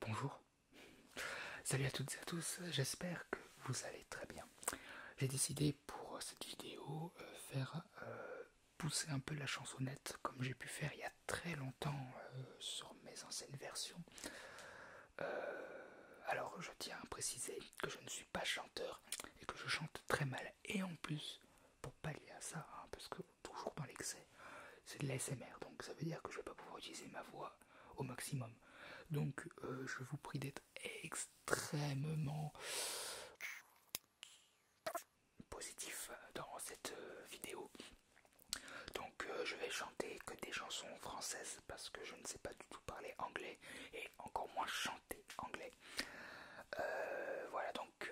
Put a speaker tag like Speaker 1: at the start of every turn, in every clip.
Speaker 1: Bonjour, salut à toutes et à tous, j'espère que vous allez très bien. J'ai décidé pour cette vidéo euh, faire euh, pousser un peu la chansonnette comme j'ai pu faire il y a très longtemps euh, sur mes anciennes versions. alors je tiens à préciser que je ne suis pas chanteur et que je chante très mal. Et en plus, pour pallier à ça, hein, parce que toujours dans l'excès, c'est de l'ASMR, donc ça veut dire que je ne vais pas pouvoir utiliser ma voix au maximum. Donc euh, je vous prie d'être extrêmement positif dans cette euh, vidéo. Donc euh, je vais chanter que des chansons françaises parce que je ne sais pas du tout parler anglais et encore moins chanter anglais. voilà donc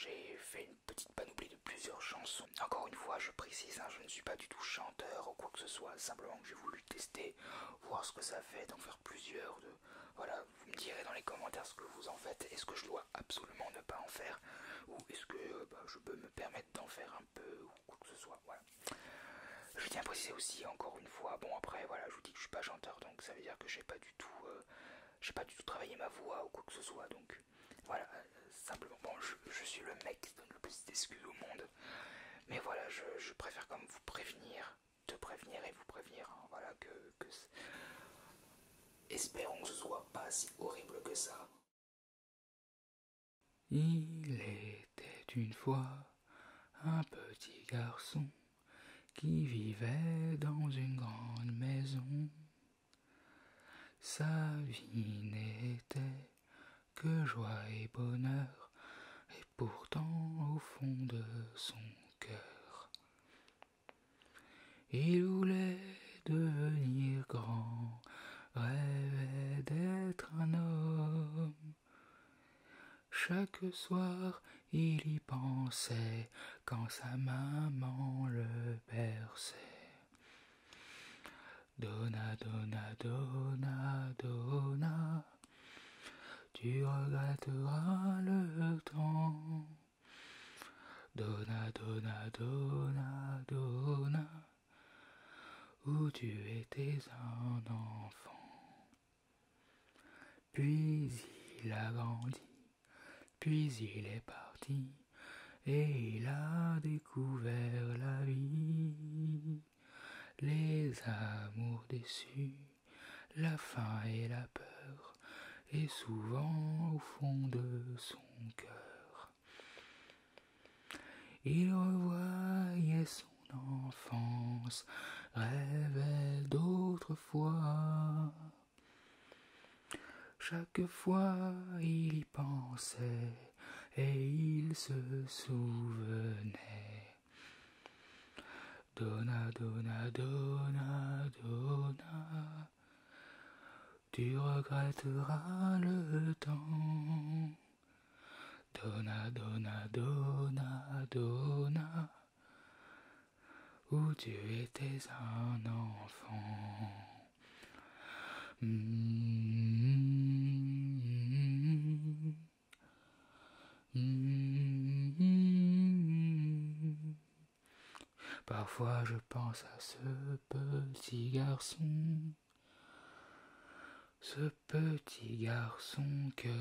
Speaker 1: j'ai fait petite panoplie de plusieurs chansons. Encore une fois, je précise, hein, je ne suis pas du tout chanteur ou quoi que ce soit, simplement que j'ai voulu tester, voir ce que ça fait, d'en faire plusieurs. De... Voilà, vous me direz dans les commentaires ce que vous en faites, est-ce que je dois absolument ne pas en faire, ou est-ce que euh, bah, je peux me permettre d'en faire un peu, ou quoi que ce soit, voilà. Je tiens à préciser aussi, encore une fois, bon après, voilà, je vous dis que je suis pas chanteur, donc ça veut dire que j'ai pas du tout... Euh, j'ai pas du tout travaillé ma voix ou quoi que ce soit, donc voilà, euh, simplement, bon, je, suis le mec qui donne le plus d'excuses au monde. Mais voilà, je, préfère comme vous prévenir, te prévenir et vous prévenir. Hein, voilà, que, que espérons que ce soit pas si horrible que ça. Il était une fois un petit garçon qui vivait dans une grande maison. Sa vie n'était que joie et bonheur, et pourtant au fond de son cœur, il voulait devenir grand, rêvait d'être un homme. Chaque soir, il y pensait quand sa maman le berçait. Dona, Dona, Dona, Dona, tu regretteras le temps. Dona, Dona, Dona, Dona, où tu étais un enfant. Puis il a grandi, puis il est parti et il a découvert la vie, les amours déçus, la faim et la peur, et souvent au fond de son cœur. Il revoyait son enfance, rêvait d'autrefois fois, il y pensait et il se souvenait. Donna, donna, donna, donna, tu regretteras le temps. Donna, donna, donna, donna, où tu étais un enfant. Parfois je pense à ce petit garçon, ce petit garçon que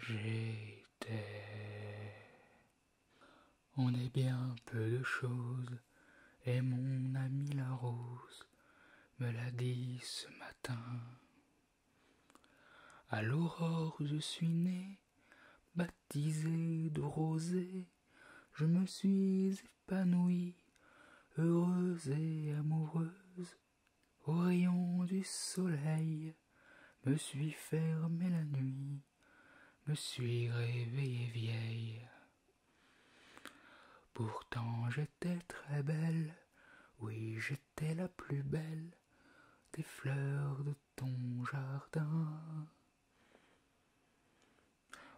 Speaker 1: j'étais. On est bien peu de choses et mon ami la rose me l'a dit ce matin. À l'aurore je suis né, baptisé de rosée, je me suis épanouie heureuse et amoureuse. Au rayon du soleil, me suis fermé la nuit, me suis réveillée vieille. Pourtant j'étais très belle, oui j'étais la plus belle des fleurs de ton jardin.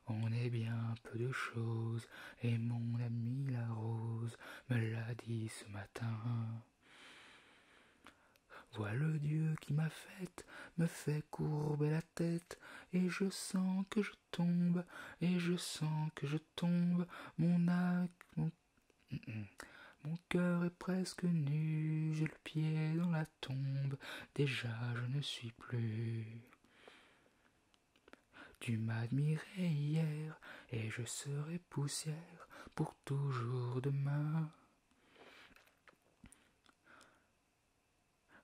Speaker 1: On est bien peu de choses, et mon ami la rose me l'a dit ce matin. Vois le Dieu qui m'a faite, me fait courber la tête, et je sens que je tombe, et je sens que je tombe, mon mon, cœur est presque nu, j'ai le pied dans la tombe, déjà je ne suis plus. Tu m'admirais hier, et je serai poussière pour toujours demain.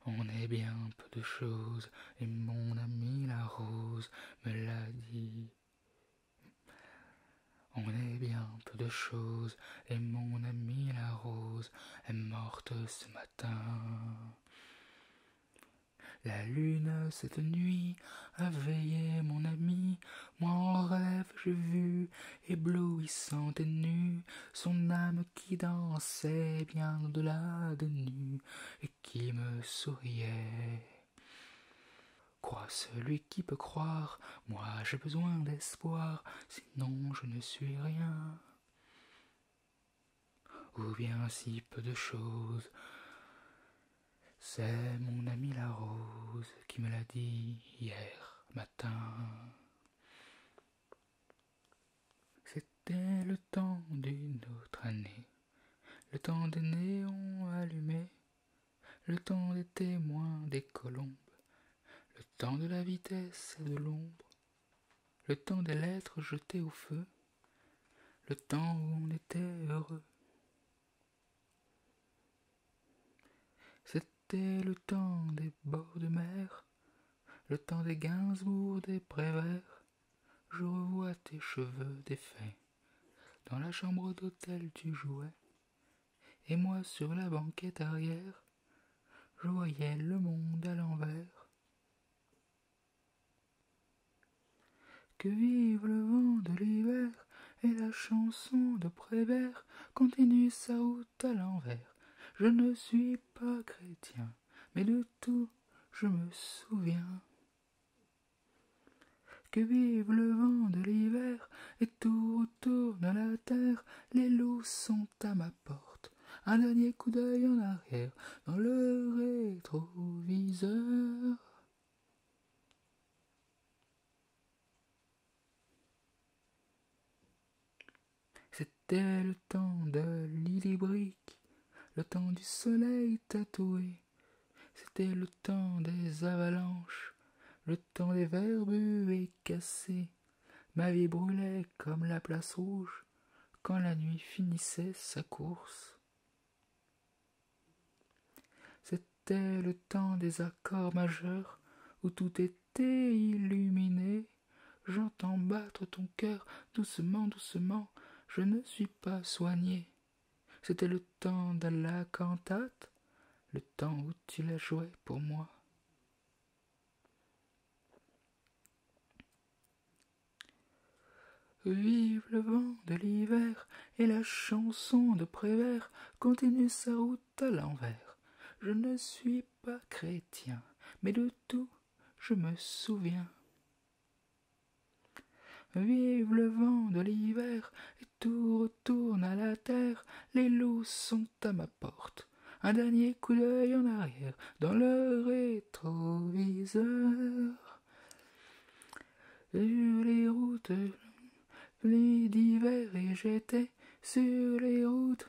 Speaker 1: On est bien peu de choses, et mon ami la rose me l'a dit. On est bien peu de choses, et mon ami la rose est morte ce matin. La lune cette nuit a veillé mon ami, moi en rêve j'ai vu, éblouissante et nue, son âme qui dansait bien au-delà de nu et qui me souriait. Crois celui qui peut croire, moi j'ai besoin d'espoir, sinon je ne suis rien. Ou bien si peu de choses, c'est mon ami la rose qui me l'a dit hier matin. C'était le temps d'une autre année, le temps des néons allumés, le temps des témoins des colombes, le temps de la vitesse et de l'ombre, le temps des lettres jetées au feu, le temps où on était heureux. C'était le temps des bords de mer, le temps des Gainsbourg, des Prévert, je revois tes cheveux défaits. Dans la chambre d'hôtel, tu jouais, et moi sur la banquette arrière, je voyais le monde à l'envers. Que vive le vent de l'hiver, et la chanson de Prévert continue sa route à l'envers. Je ne suis pas chrétien, mais le tout je me souviens. Que vive le vent de l'hiver, et tout autour de la terre, les loups sont à ma porte. Un dernier coup d'œil en arrière, dans le rétroviseur. C'était le temps de l'ilibrique, le temps du soleil tatoué. C'était le temps des avalanches, le temps des et cassés. Ma vie brûlait comme la place rouge quand la nuit finissait sa course. C'était le temps des accords majeurs où tout était illuminé. J'entends battre ton cœur doucement, doucement, je ne suis pas soigné. C'était le temps de la cantate, le temps où tu la jouais pour moi. Vive le vent de l'hiver et la chanson de Prévert continue sa route à l'envers. Je ne suis pas chrétien, mais de tout je me souviens. Vive le vent de l'hiver, et tout retourne à la terre, les loups sont à ma porte. Un dernier coup d'œil en arrière, dans le rétroviseur. les routes, les d'hiver, et j'étais sur les routes.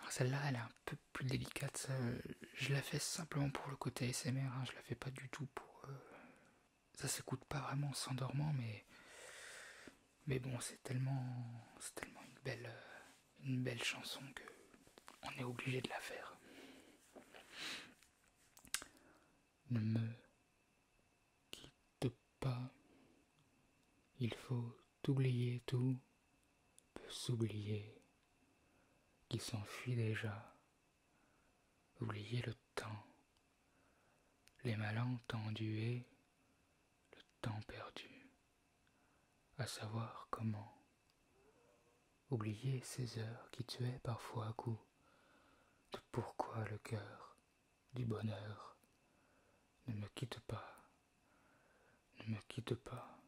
Speaker 1: Ah, celle-là, elle est un peu plus délicate. Euh, je la fais simplement pour le côté ASMR. je hein, Je la fais pas du tout pour. Euh, ça s'écoute pas vraiment en s'endormant, mais. Mais bon, c'est tellement. C'est tellement une belle. Euh, une belle chanson que. On est obligé de la faire. Ne me quitte pas, il faut oublier tout, peut s'oublier, qui s'enfuit déjà, oublier le temps, les malentendus et le temps perdu, à savoir comment oublier ces heures qui tuaient parfois à coup de pourquoi le cœur du bonheur ne me quitte pas, ne me quitte pas,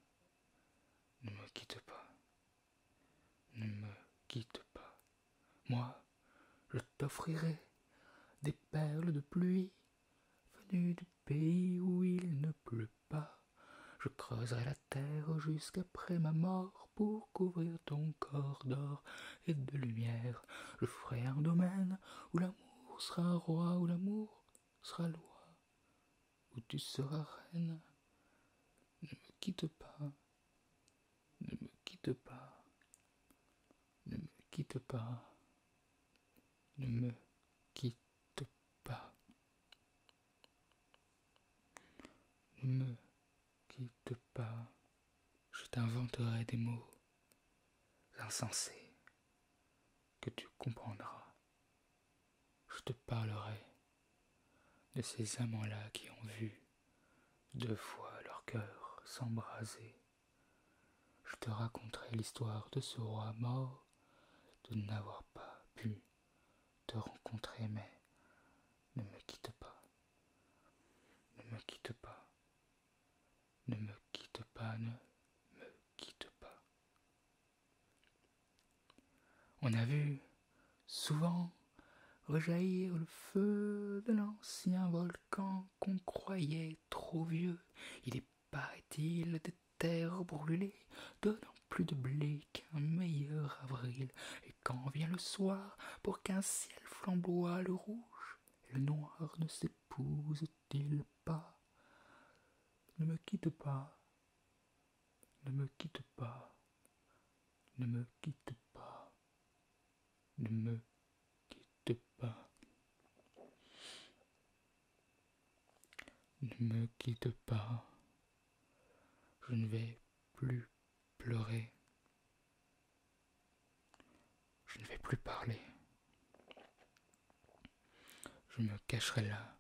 Speaker 1: ne me quitte pas, ne me quitte pas. Moi, je t'offrirai des perles de pluie venues du pays où il ne pleut pas. Je creuserai la terre jusqu'après ma mort pour couvrir ton corps d'or et de lumière. Je ferai un domaine où l'amour sera roi, où l'amour sera loi, où tu seras reine. Ne me quitte pas, ne me quitte pas, ne me quitte pas, ne me quitte pas, quitte pas, je t'inventerai des mots insensés que tu comprendras. Je te parlerai de ces amants-là qui ont vu deux fois leur cœur s'embraser. Je te raconterai l'histoire de ce roi mort de n'avoir pas pu te rencontrer, mais ne me quitte pas. Ne me quitte pas. Ne me quitte pas, ne me quitte pas. On a vu souvent rejaillir le feu de l'ancien volcan qu'on croyait trop vieux. Il est, paraît-il, terre terres brûlées, donnant plus de blé qu'un meilleur avril, et quand vient le soir, pour qu'un ciel flamboie le rouge, le noir ne s'épouse-t-il pas Ne me quitte pas, ne me quitte pas, ne me quitte pas, ne me quitte pas. Ne me quitte pas, je ne vais plus pleurer. Je ne vais plus parler. Je me cacherai là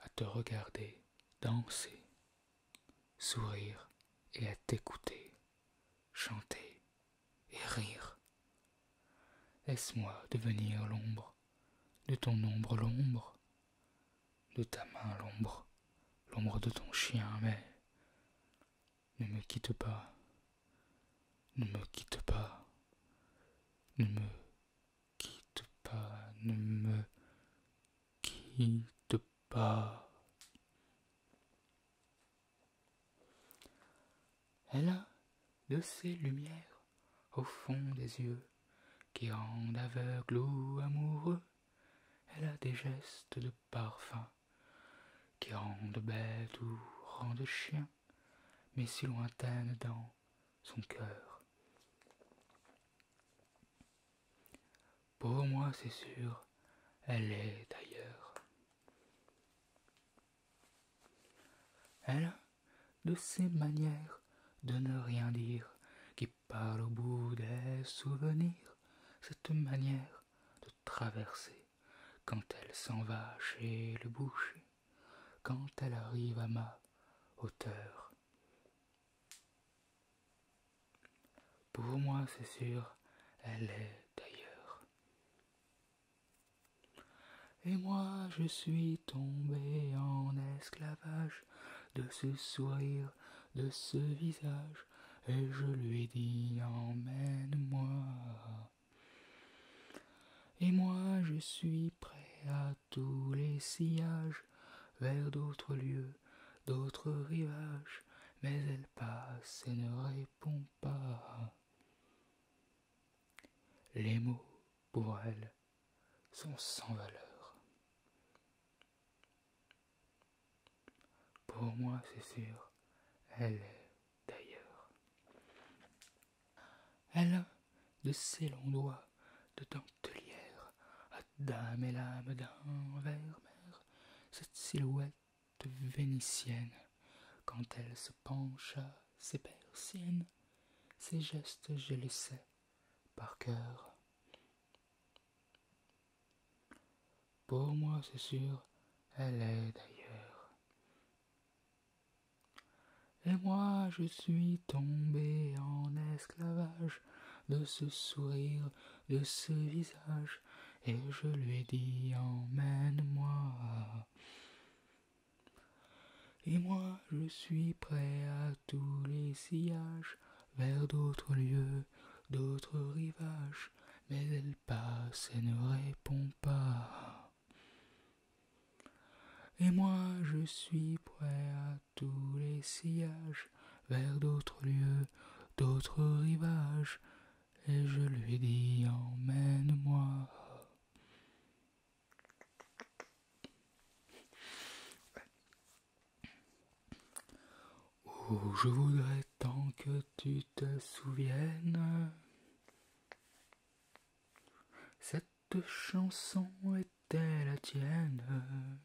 Speaker 1: à te regarder danser, sourire et à t'écouter chanter et rire. Laisse-moi devenir l'ombre de ton ombre, l'ombre de ta main l'ombre, l'ombre de ton chien, mais ne me quitte pas, ne me quitte pas, ne me quitte pas, ne me quitte pas. Elle a de ces lumières au fond des yeux qui rendent aveugle ou amoureux elle a des gestes de parfum qui rendent bête ou rendent chien, mais si lointaine dans son cœur. Pour moi, c'est sûr, elle est ailleurs. Elle a de ces manières de ne rien dire qui par le bout des souvenirs, cette manière de traverser, quand elle s'en va chez le boucher, quand elle arrive à ma hauteur. Pour moi, c'est sûr, elle est d'ailleurs. Et moi, je suis tombé en esclavage de ce sourire, de ce visage, et je lui dis emmène-moi. Et moi je suis prêt à tous les sillages, vers d'autres lieux, d'autres rivages, mais elle passe et ne répond pas. Les mots, pour elle, sont sans valeur. Pour moi, c'est sûr, elle est d'ailleurs. Elle a de ses longs doigts de dentelière, à dame et l'âme d'un vermer, cette silhouette vénitienne, quand elle se pencha, ses persiennes, ses gestes je les sais par cœur. Pour moi, c'est sûr, elle est d'ailleurs. Et moi, je suis tombé en esclavage de ce sourire, de ce visage, et je lui ai dit emmène-moi. Et moi, je suis prêt à tous les sillages vers d'autres lieux d'autres rivages, mais elle passe et ne répond pas. Et moi je suis prêt à tous les sillages, vers d'autres lieux, d'autres rivages, et je lui dis emmène-moi. Oh, je voudrais tant que tu te souviennes. Cette chanson était la tienne.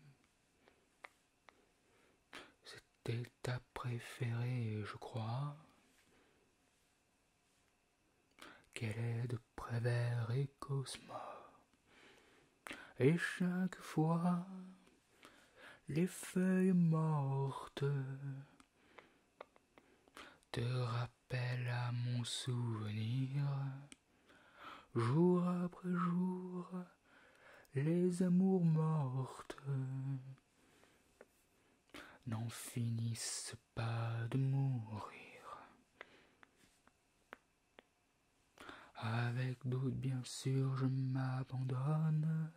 Speaker 1: C'était ta préférée, je crois. Qu'elle est de Prévert et Cosmo. Et chaque fois les feuilles mortes te rappellent à mon souvenir, jour après jour, les amours mortes n'en finissent pas de mourir. Avec doute, bien sûr, je m'abandonne.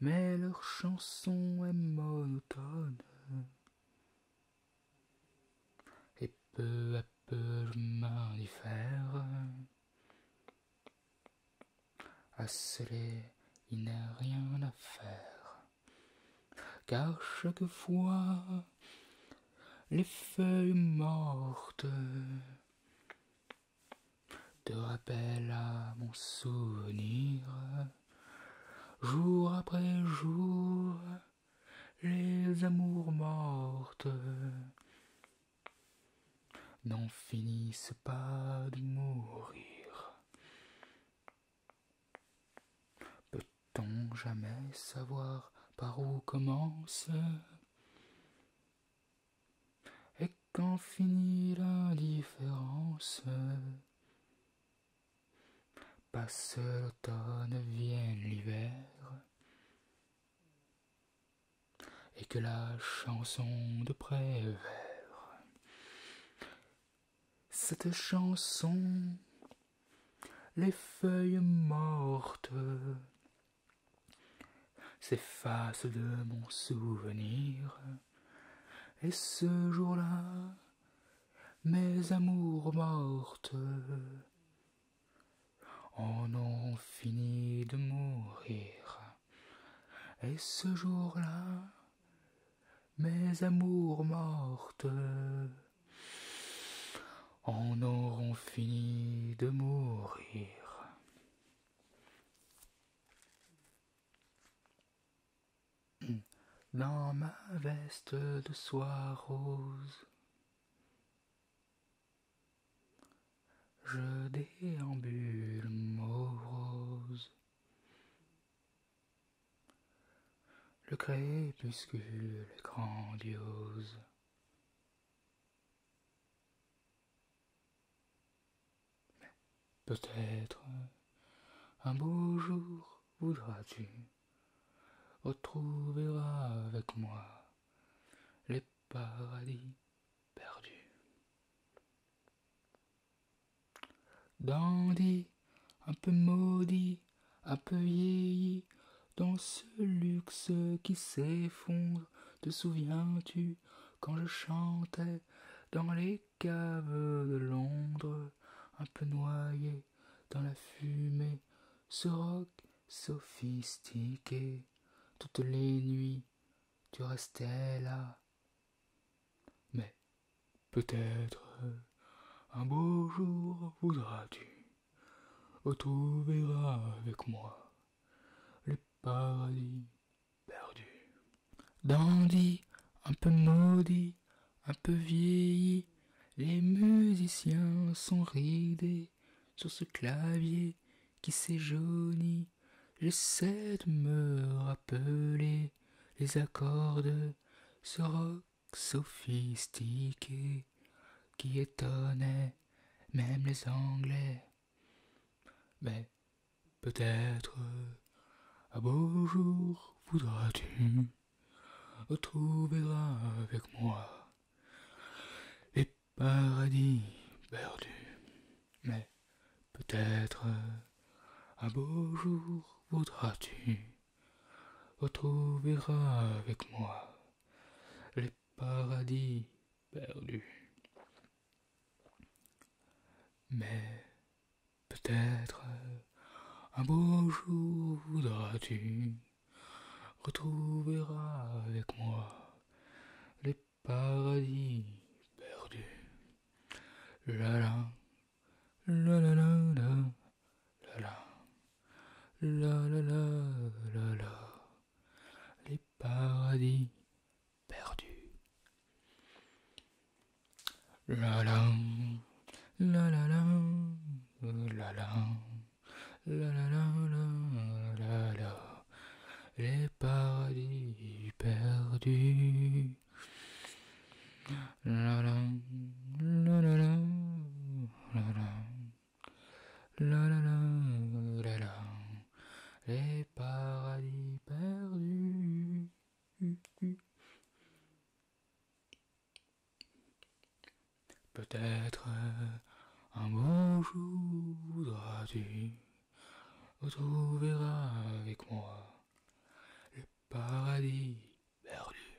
Speaker 1: Mais leur chanson est monotone. Et peu à peu, je m'indiffère à cela, il n'a rien à faire. Car chaque fois les feuilles mortes te rappellent à mon souvenir, jour après jour, les amours mortes n'en finissent pas de mourir. Peut-on jamais savoir par où commence et quand finit l'indifférence, passe l'automne, vienne l'hiver, et que la chanson de Prévert, cette chanson, les feuilles mortes, s'efface de mon souvenir. Et ce jour-là, mes amours mortes en ont fini de mourir. Et ce jour-là, mes amours mortes en auront fini de mourir. Dans ma veste de soie rose, je déambule rose Le crépuscule grandiose Peut-être un beau jour voudras-tu retrouver avec moi les paradis perdus. Dandy, un peu maudit, un peu vieilli, dans ce luxe qui s'effondre. Te souviens-tu quand je chantais dans les caves de Londres, un peu noyé dans la fumée, ce rock sophistiqué, toutes les nuits tu restais là. Mais peut-être un beau jour voudras-tu Retrouvera avec moi le paradis perdu. Dandy, un peu maudit, un peu vieilli, les musiciens sont ridés sur ce clavier qui s'est jauni. J'essaie de me rappeler les accords de ce rock sophistiqué qui étonnait même les Anglais. Mais
Speaker 2: peut-être
Speaker 1: un beau jour voudras-tu retrouver avec moi les paradis perdus. Mais peut-être un beau jour voudras-tu retrouver avec moi les paradis perdu. Mais peut-être un beau jour voudras-tu retrouveras avec moi les paradis perdus. La la, la la la la, la la, la la la la la les paradis perdus. La la, la la la, la la, la la la la la, les paradis perdus. La la, la la la, la la. La la la, la la, les paradis perdus. Peut-être un bon jour voudras-tu retrouveras avec moi les paradis perdus.